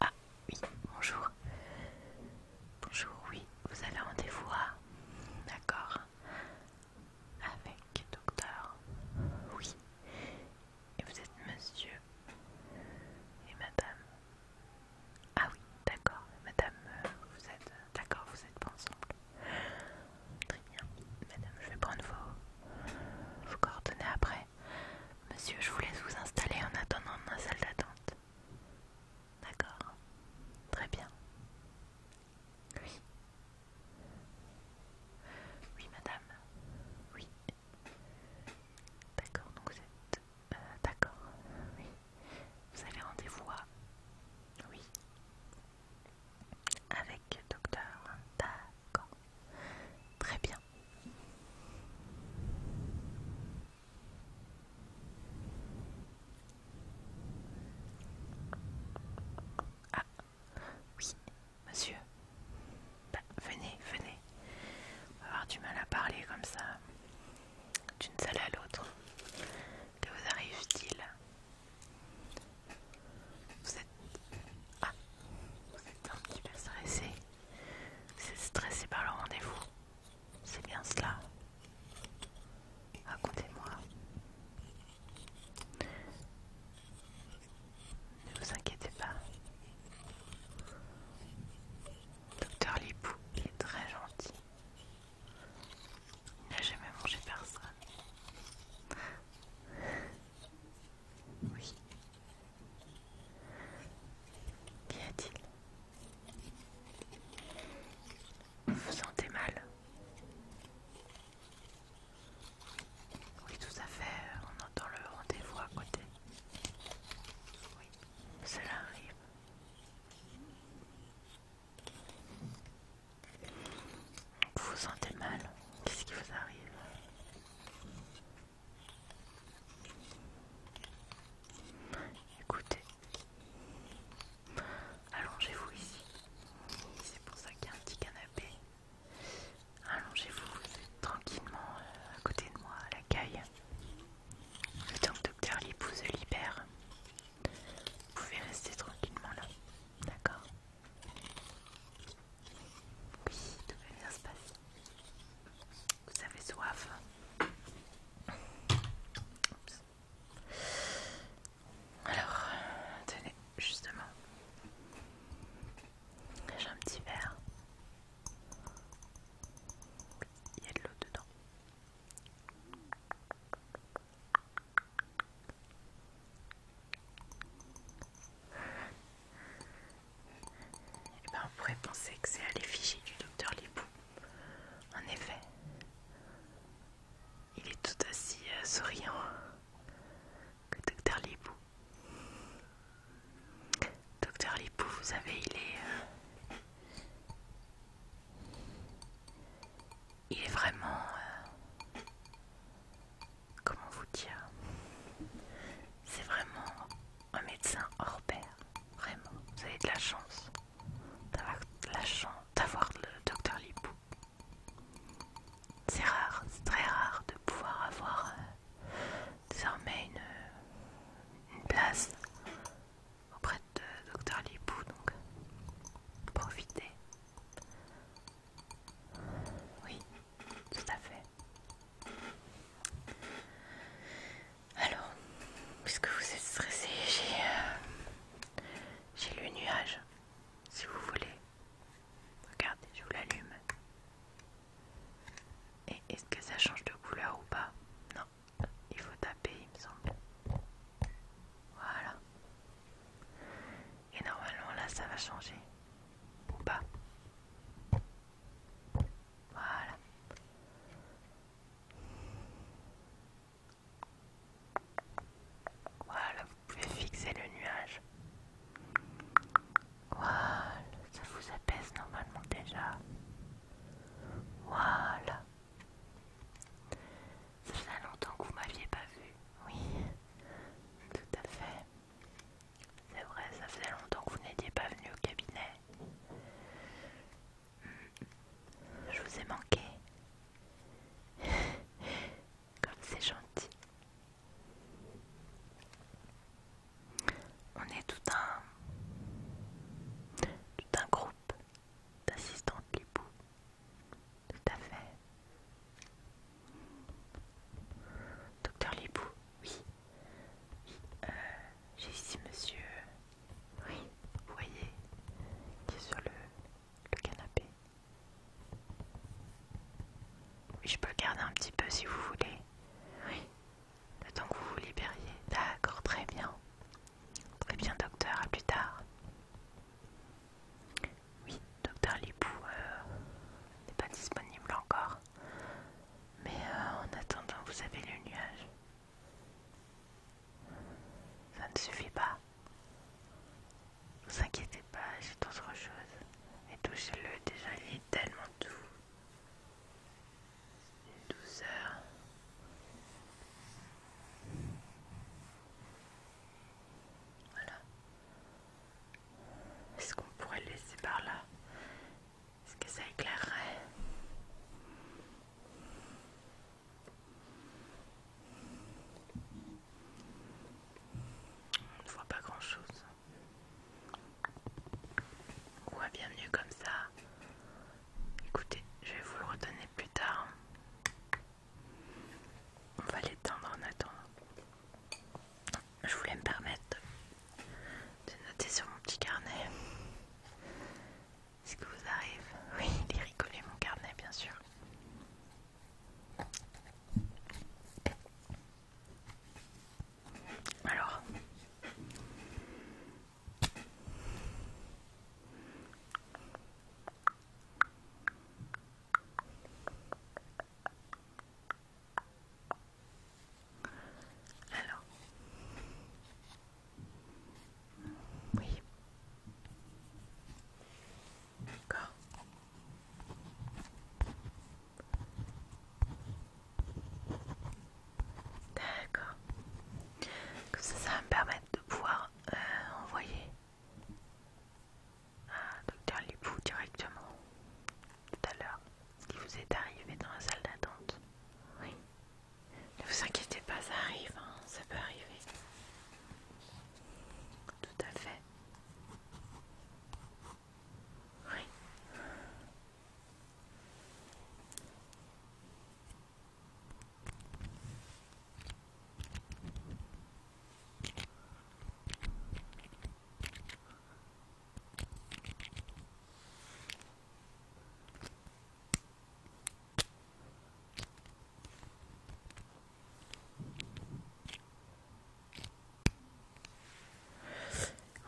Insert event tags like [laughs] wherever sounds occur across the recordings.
Ah oui, bonjour. Bonjour, oui, vous allez rendez-vous D'accord avec docteur. Oui. Et vous êtes monsieur et madame. Ah oui, d'accord. Madame, euh, vous êtes... D'accord, vous êtes pas ensemble. Très bien. Madame, je vais prendre vos, vos coordonnées après. Monsieur, je vous laisse vous installer en attendant dans la salle d'attente. D'accord. Très bien. Oui. Oui, madame. Oui. D'accord, donc vous êtes. Euh, d'accord, oui. Vous avez rendez-vous à. Oui. Avec docteur. D'accord. Très bien. Ah, oui, monsieur. Bah, venez, venez. On va avoir du mal à parler comme ça, d'une salle à l'autre. Que vous arrive-t-il Vous êtes... Ah, vous êtes un petit peu stressé. Vous êtes stressé par le rendez-vous. C'est bien cela. Racontez-moi. Ne vous inquiétez pas. Docteur Lipou est très gentil. Il n'a jamais mangé personne. Oui. Qu'y a-t-il Vous vous sentez mal oui, tout à fait, on entend le rendez-vous à côté. Oui, cela arrive. Vous vous sentez mal Qu'est-ce qui vous arrive Écoutez, allongez-vous ici. C'est pour ça qu'il y a un petit canapé. Allongez-vous tranquillement euh, à côté de moi, à l'accueil. Le temps que Docteur Lipou se libère, vous pouvez rester tranquillement là. D'accord Oui, tout va bien se passer. Vous avez soif alors, tenez, justement, j'ai un petit verre. il y a de l'eau dedans. Et eh ben, on pourrait penser que c'est à l'effigie du docteur Lipou. En effet, il est tout aussi euh, souriant hein, que Docteur Lipou. Docteur Lipou, vous savez, il est... Euh, il est vraiment... Euh, comment vous dire C'est vraiment un médecin hors pair. Vraiment. Vous avez de la chance d'avoir la chance d'avoir le Docteur Lipou. C'est rare, c'est très rare de pouvoir avoir euh, désormais euh, une, place auprès de Docteur Lipou, donc profitez. Oui, tout à fait. Alors, puisque vous êtes stressé, j'ai euh, le nuage, si vous voulez. Regardez, je vous l'allume. Et est-ce que ça change de couleur ou pas Non, il faut taper, il me semble. Voilà. Et normalement là, ça va changer. Ou pas voilà. Voilà, vous pouvez fixer le nuage. Voilà, ça vous apaise normalement déjà. Voilà. Ça fait longtemps que vous m'aviez pas vu. Oui, tout à fait. C'est vrai, ça faisait longtemps que vous n'étiez pas venu au cabinet. Hmm. Je vous ai manqué. [laughs] Comme c'est gentil. On est tout un, tout un groupe d'assistantes Lipou. Tout à fait. Docteur Lipou, oui. Euh, j'ai ici monsieur, oui, vous voyez, qui est sur le le canapé. Oui, je peux le garder un petit peu si vous voulez. Oui, le que vous vous libériez. D'accord, très bien. Très eh bien, docteur, à plus tard. Oui, docteur Lipou euh, n'est pas disponible encore. Mais euh, en attendant, vous avez le nuage. Ça ne suffit pas. Ne vous inquiétez pas, j'ai autre chose. Et touchez-le déjà, il est tellement doux. Une douceur. Voilà. Est-ce qu'on pourrait le laisser par là Est-ce que ça éclairerait on ne voit pas grand chose. Ouais, bien mieux comme ça. Écoutez, je vais vous le redonner plus tard. On va l'éteindre en attendant. Je voulais me permettre de noter sur mon petit carnet ce que vous arrive. Oui, il est rigolé mon carnet, bien sûr. Alors, alors, oui. D'accord D'accord. Comme ça, ça va me permettre de pouvoir euh, envoyer à ah, Docteur Lipou directement tout à l'heure ce qui vous est arrivé dans la salle d'attente. Oui. Ne vous inquiétez pas, ça arrive, hein. ça peut arriver. Tout à fait. Oui.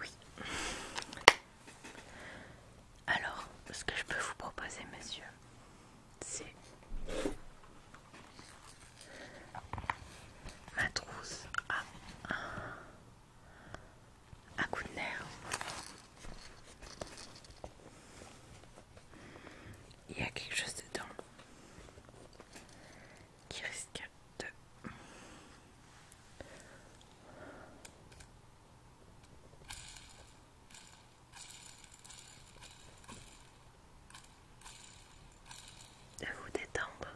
Oui. Alors, ce que je peux vous proposer, monsieur, c'est ma trousse à un, coup de nerf il y a quelque chose dedans qui risque de vous détendre,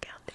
regardez.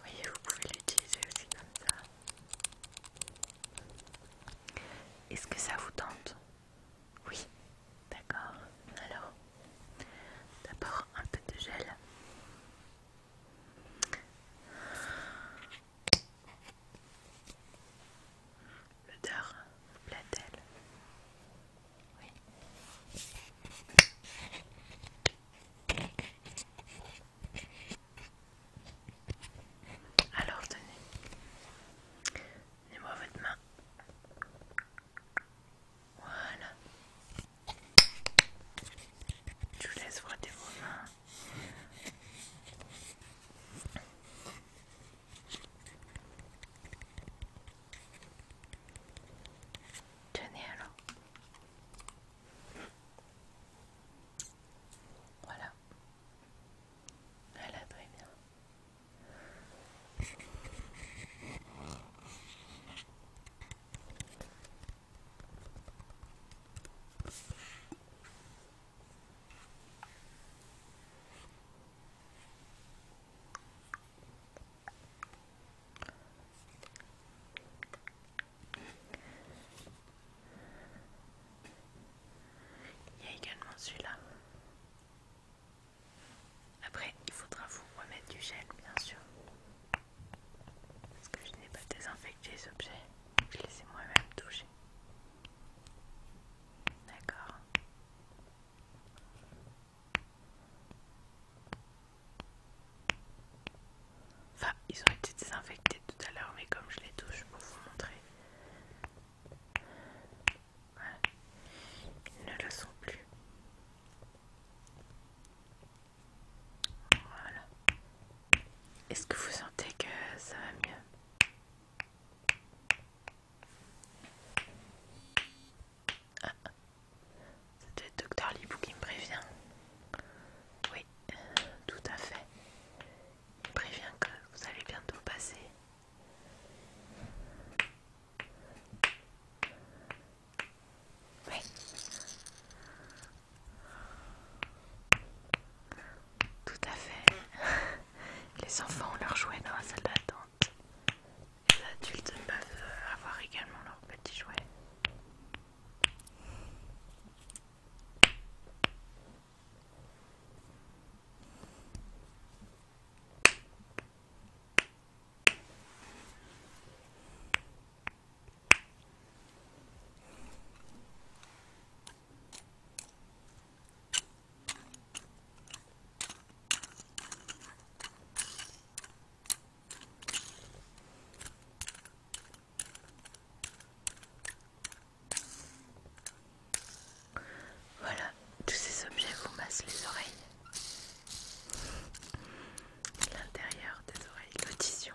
voyez, vous pouvez l'utiliser aussi comme ça. Est-ce que ça vous tente Oui, d'accord. Alors, d'abord un peu de gel. L'odeur vous plaît alors tenez, donnez-moi votre main. Voilà. Je vous laisse frotter vos mains. Janeiro. Voilà. Voilà, très bien. Il y a également celui-là. Après, il faudra vous remettre du gel, bien sûr. Parce que je n'ai pas désinfecté les objets. Je les ai moi-même touchés. D'accord. Enfin, ils ont été désinfectés tout à l'heure, mais comme je les touche pour vous montrer, ils ne le sont plus. Voilà. Est-ce que vous sentez que ça va mieux ah, ça doit être Docteur Libou qui me prévient. Oui, tout à fait. Il me prévient que vous allez bientôt passer. Oui. Tout à fait. [laughs] Les enfants ont leur jouet dans la salle d'attente. Les adultes peuvent euh, avoir également leurs petits jouets. Voilà, tous ces objets vous massent les oreilles. L'intérieur des oreilles, l'audition.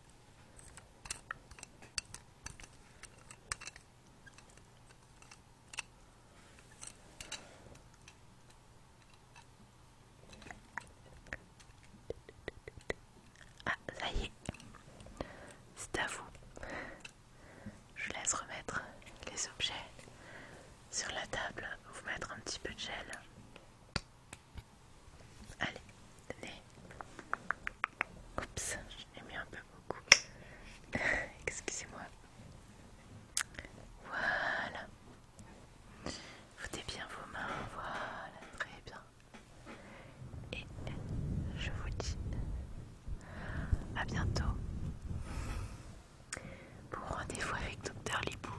Ah, ça y est, c'est à vous. Je laisse remettre les objets sur la table, vous mettre un petit peu de gel Allez, tenez. Oups, je l'ai mis un peu beaucoup. [laughs] Excusez-moi. Voilà. Foutez bien vos mains. Voilà, très bien. Et je vous dis à bientôt pour rendez-vous avec Dr Lipou.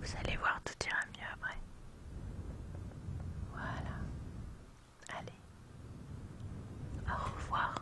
Vous allez voir, tout ira mieux après. Voilà. Allez. Au revoir.